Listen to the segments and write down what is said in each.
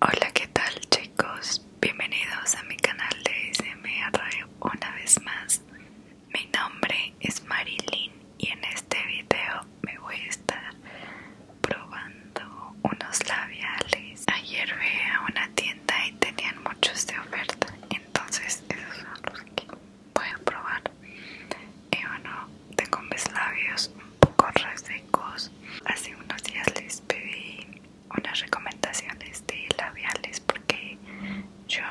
Hola, ¿qué tal chicos? Bienvenidos a mi canal de SMR Radio una vez más. Mi nombre es Marilyn y en este video me voy a estar probando unos labiales. Ayer vi a una tienda y tenían muchos de oferta, entonces esos son los que voy a probar. Y bueno, tengo mis labios un poco resecos Hace unos días les pedí unas recomendaciones de labiales porque yo,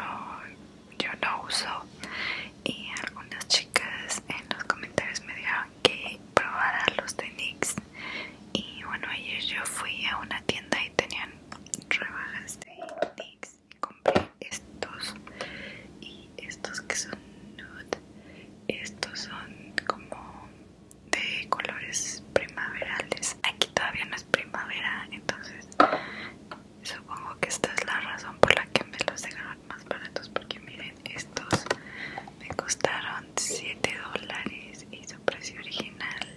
yo no uso y algunas chicas en los comentarios me dijeron que probara los de NYX y bueno ayer yo fui a una tienda y tenían rebajas de NYX y compré estos y estos que son nude estos son como de colores primaverales aquí todavía no es primavera entonces supongo que esta es la razón por la que me los dejaron más baratos porque miren estos me costaron 7 dólares y su precio original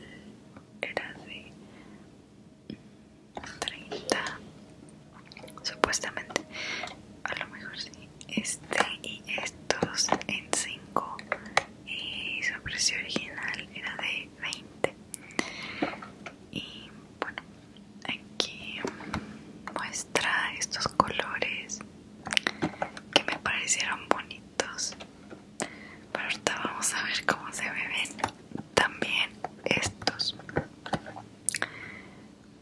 era de 30 supuestamente a lo mejor sí este y estos en 5 y su precio original era de 20 y bueno aquí muestra estos colores que me parecieron bonitos pero ahorita vamos a ver cómo se ven también estos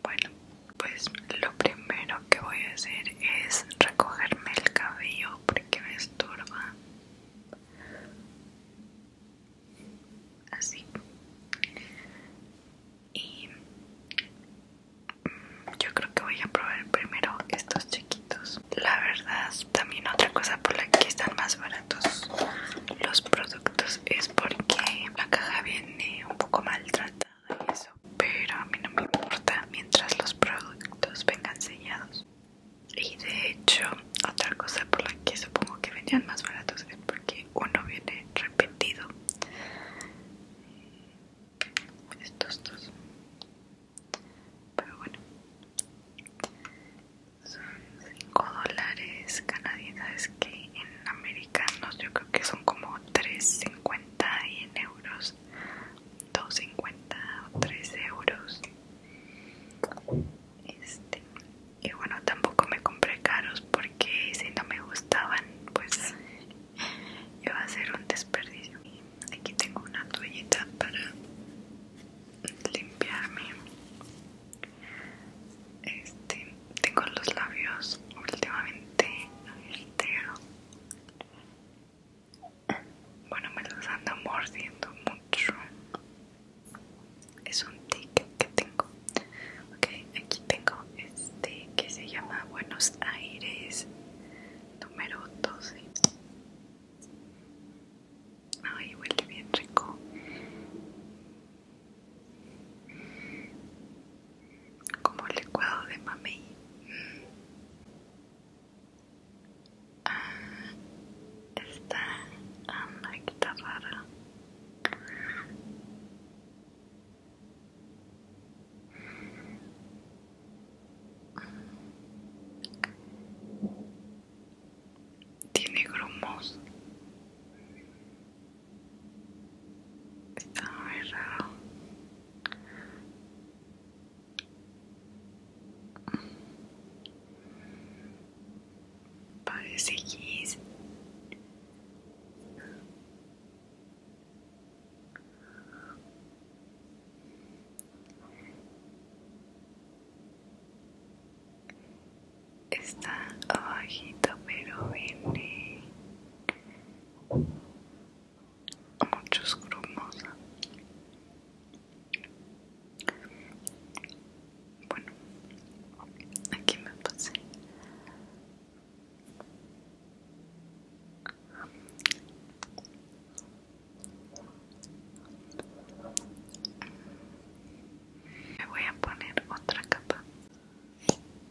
bueno pues lo primero que voy a hacer es recogerme el cabello porque me estorba. Así. Y mm, yo creo que voy a probar primero estos chiquitos. La verdad, también otra cosa por la que están más baratos los productos es porque la caja viene un poco maltratada pero a mí no me importa mientras los productos vengan sellados. Y de hecho, otra cosa por la que supongo que venían más baratos es porque uno viene repetido. Estos dos. Pero bueno. Son 5 dólares canadienses que en americanos yo creo que son como 3.50 y en euros 2.50 o 3 euros este, y bueno tampoco me compré caros porque si no me gustaban pues iba a ser un desperdicio y aquí tengo una toallita para limpiarme este tengo los labios últimamente entero bueno, me los ando mordiendo mucho. Es un ticket que tengo. Ok, aquí tengo este que se llama Buenos Aires número 12. Ay, huele bien rico como el licuado de mamey. Mm, ah, está ah, rara. Tiene grumos. Está muy raro. Parece gris. Está abajito pero viene muchos grumos bueno aquí me pasé me voy a poner otra capa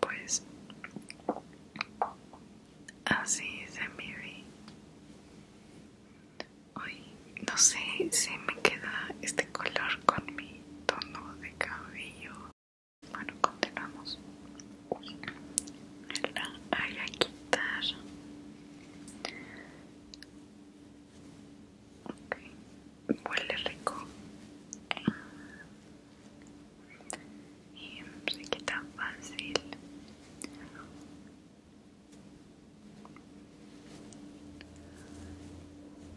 Pues así se me ve. Hoy no sé si me queda este color con mi tono de cabello bueno, continuamos. La voy quitar. huele rico. Y se quita fácil.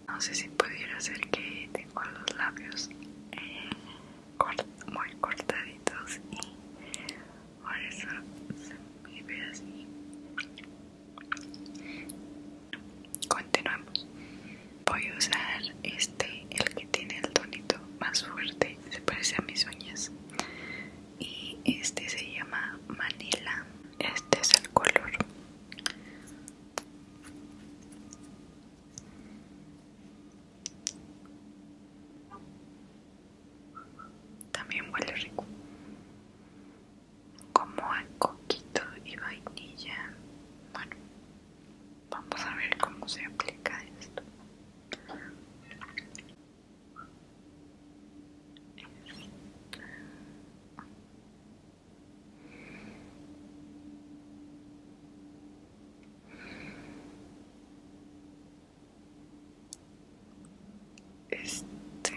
No sé si pudiera hacer que tengo los labios eh, muy cortaditos y por eso se me ve así continuamos voy a usar este el que tiene el tonito más fuerte se parece a mis uñas y este se llama manila este es el color también huele rico, como a coquito y vainilla. Bueno, vamos a ver cómo se aplica esto. Este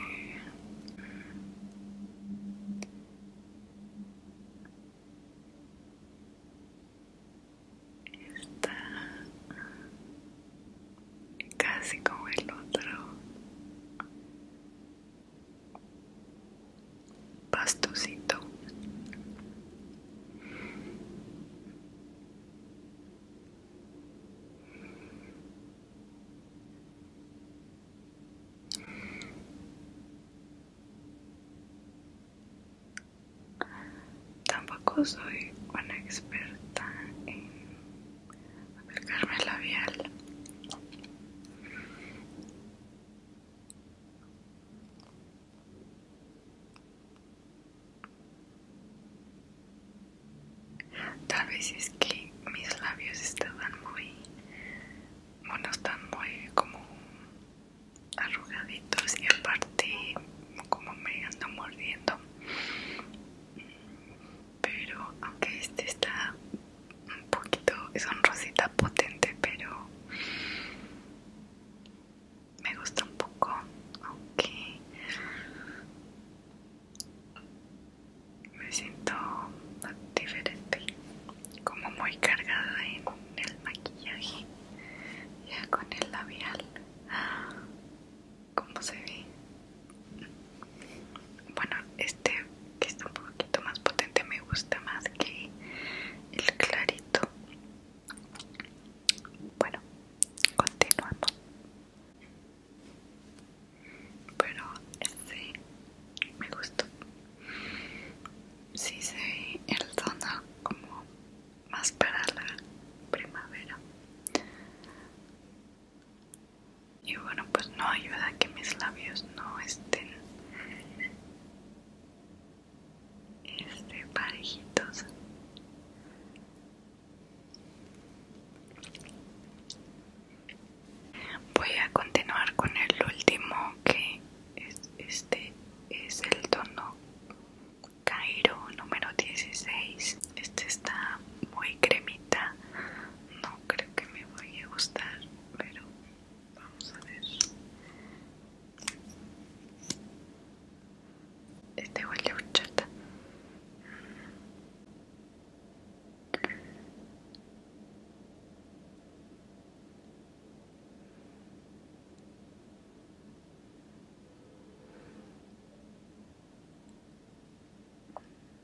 está casi como el otro Pastocito Tampoco soy una experta en aplicarme el labial. Tal vez es que mis labios estaban muy, bueno, están muy como arrugaditos y aparte como me ando mordiendo. Pero aunque este está un poquito, es un rosita potente, pero me gusta un poco, aunque me siento diferente, como muy cargada en el maquillaje, ya con el labial, como se ve. Bueno, este que está un poquito más potente me gusta más que el clarito bueno, continuamos Pero sí, este me gustó. Sí se el tono como más para la primavera. Y bueno, pues no ayuda que mis labios no estén este, parejitos voy a continuar con el último que es, este es el tono Cairo número 16 este está muy cremita no creo que me vaya a gustar pero vamos a ver este huele a horchata.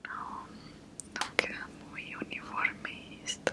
No, no queda muy uniforme esto.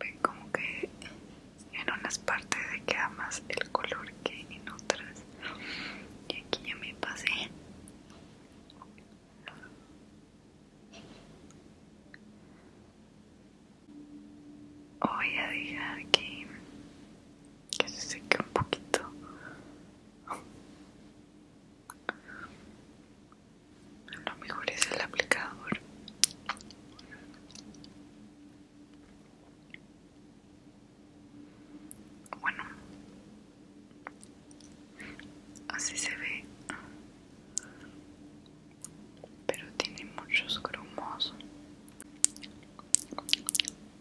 ven como que en unas partes queda más el color que en otras y aquí ya me pasé voy a dejar que se seque un poquito lo mejor es el aplicador bueno así se ve pero tiene muchos grumos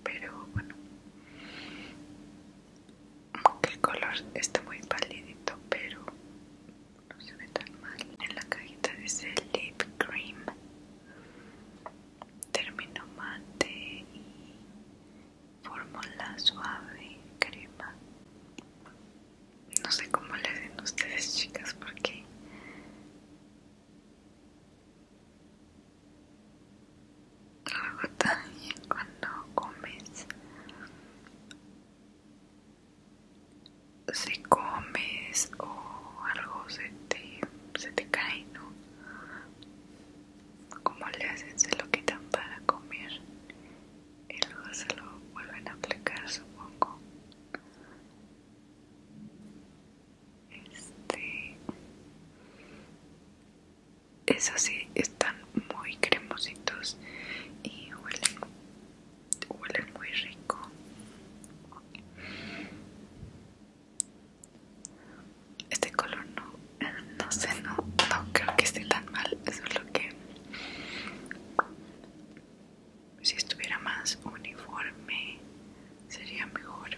pero bueno aunque el color está muy palidito pero no se ve tan mal. En la cajita dice lip cream, término mate y fórmula suave crema. No sé cómo le den ustedes, chicas, porque luego también cuando comes si comes o algo se te, se te cae, ¿no? Como le hacen, se lo quitan para comer y luego se lo vuelven a aplicar, supongo. Este. Eso sí, están muy cremositos y huelen huele muy rico este color no no sé no, no creo que esté tan mal eso es lo que si estuviera más uniforme sería mejor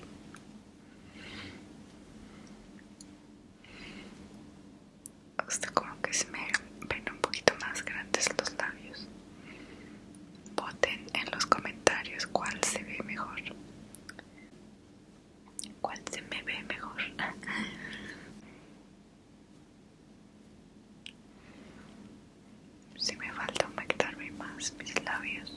como que se me ven un poquito más grandes los labios. Voten en los comentarios cuál se ve mejor. ¿Cuál se me ve mejor? Si me falta humectarme más mis labios.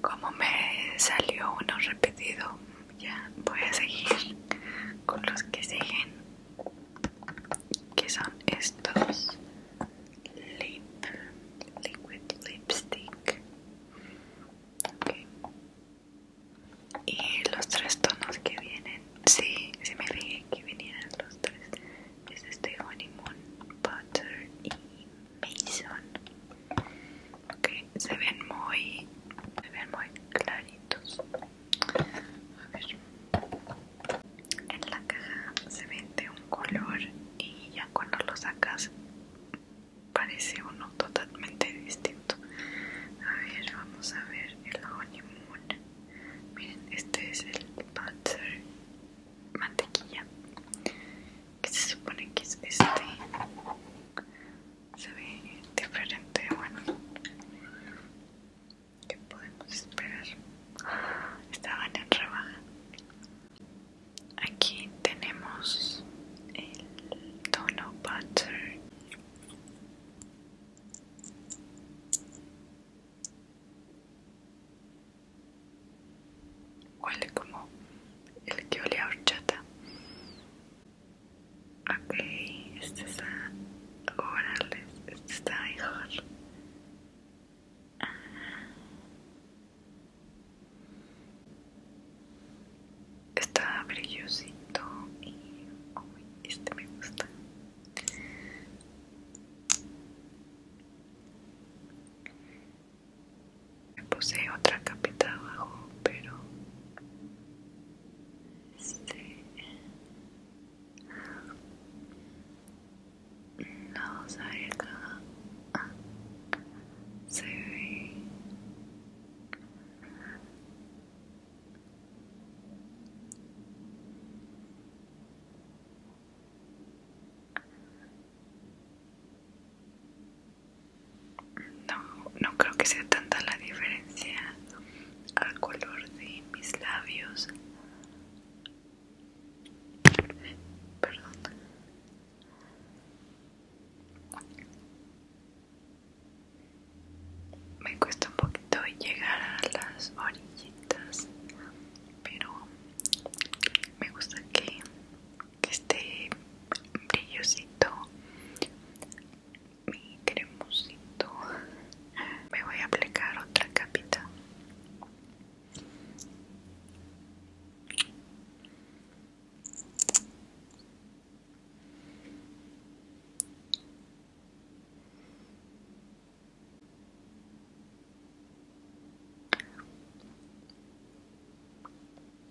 Como me salió uno repetido, ya voy a seguir con los que siguen, que son estos lip liquid lipstick y los tres tonos que vienen si, sí me fijé que vinieran los tres es este honeymoon, butter y mason ok, se ven muy se ven muy claritos a ver en la caja se ven de un color y ya cuando lo sacas parece uno totalmente distinto a ver, vamos a ver el honeymoon Miren, este es el butter mantequilla, que se supone que es este. Se ve diferente, bueno. ¿Qué podemos esperar? Estaban en rebaja. Aquí tenemos el tono butter Huele como el que olía a horchata. Ok, este está. ahora este está mejor. Está brillosito y este me gusta me puse otra capita abajo pero este no sale acá ah, se ve no, no creo que sea tanta la diferencia al color de mis labios. Perdón me cuesta un poquito llegar a las orillitas pero me gusta que, esté brillosito mi cremosito me voy a aplicar otra capita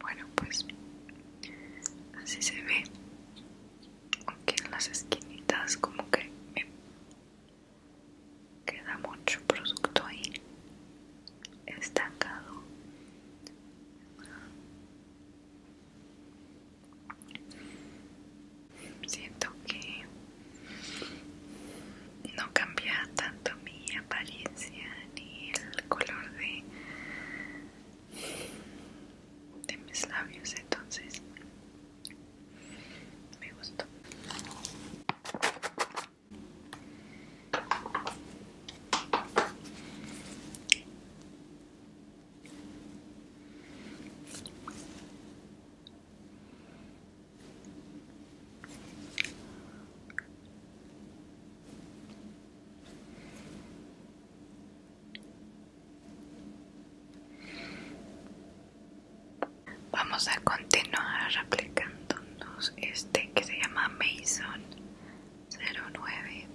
bueno, pues así se ve. Aunque en las esquinitas como que queda mucho producto ahí estancado. Siento que no cambia tanto mi apariencia ni el color de, de mis labios, entonces me gustó. Vamos a continuar aplicándonos este que se llama Mason 09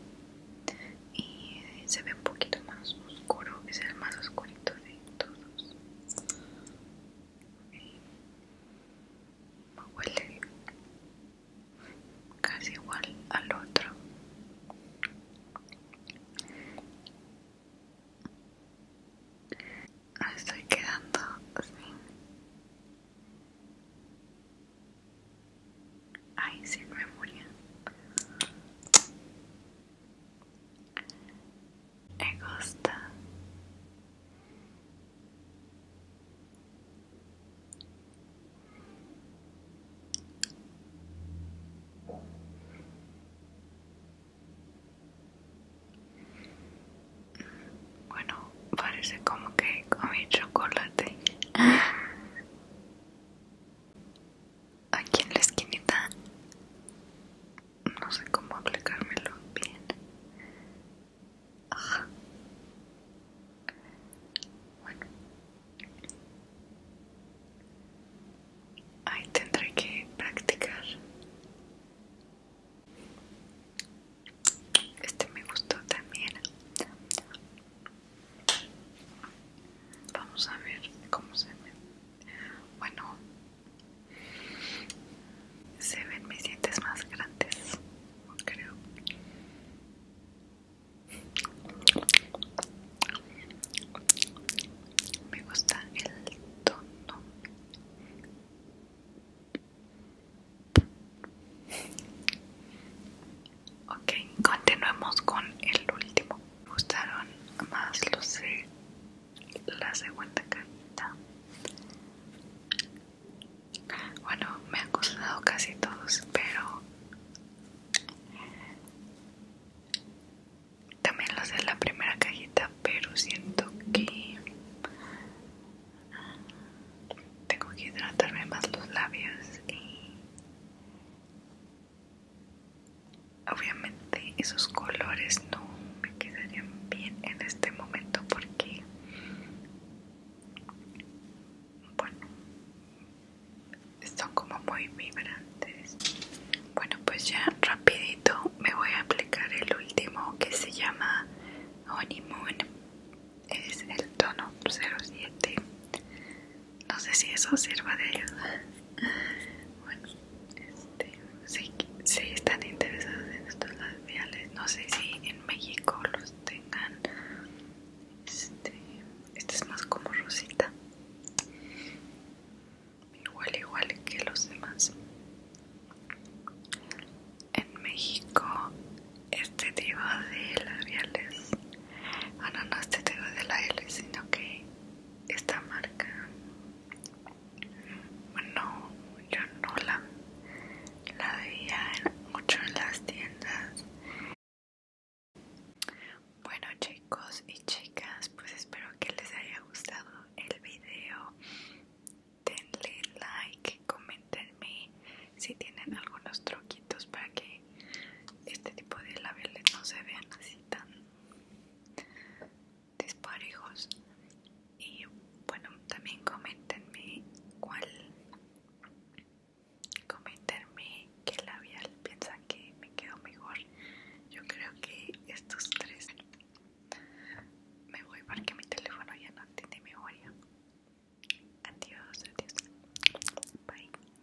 y se ve un poquito más oscuro, es el más oscurito de todos. me Huele casi igual al otro. Ah, estoy quedando así Ay, me memoria. Me gusta. Bueno, parece como que comí chocolate aquí en la esquinita no sé cómo aplicármelo bien bueno ahí tendré que practicar este me gustó también Vamos a ver cómo se ven. Bueno, se ven mis dientes más grandes, creo. Me gusta el tono. Ok, continuemos con el último. Me gustaron más los sé, la segunda cajita. Bueno, me han gustado casi todos, pero también lo sé la primera cajita, pero siento que tengo que hidratarme más los labios y Obviamente esos colores no me quedarían bien en este momento porque, bueno, son como muy vibrantes. Bueno, pues ya rapidito me voy a aplicar el último que se llama Honeymoon. Es el tono 07 no sé si eso sirva de ayuda. Bueno, este, si, están interesados en estos labiales, no sé si en México los tengan. Este, este es más como rosita, igual, igual que los demás. En México, este tipo de labiales Ananas ah, no, este de la L, sino que esta marca. Bueno, yo no la, veía mucho en las tiendas. Bueno, chicos y chicas, pues espero que les haya gustado el video. Denle like, comentenme si tienen algunos truquitos para que este tipo de labiales no se vean así tan disparejos y bueno también comentenme cuál comentenme qué labial piensan que me quedó mejor yo creo que estos tres me voy porque mi teléfono ya no tiene memoria adiós adiós bye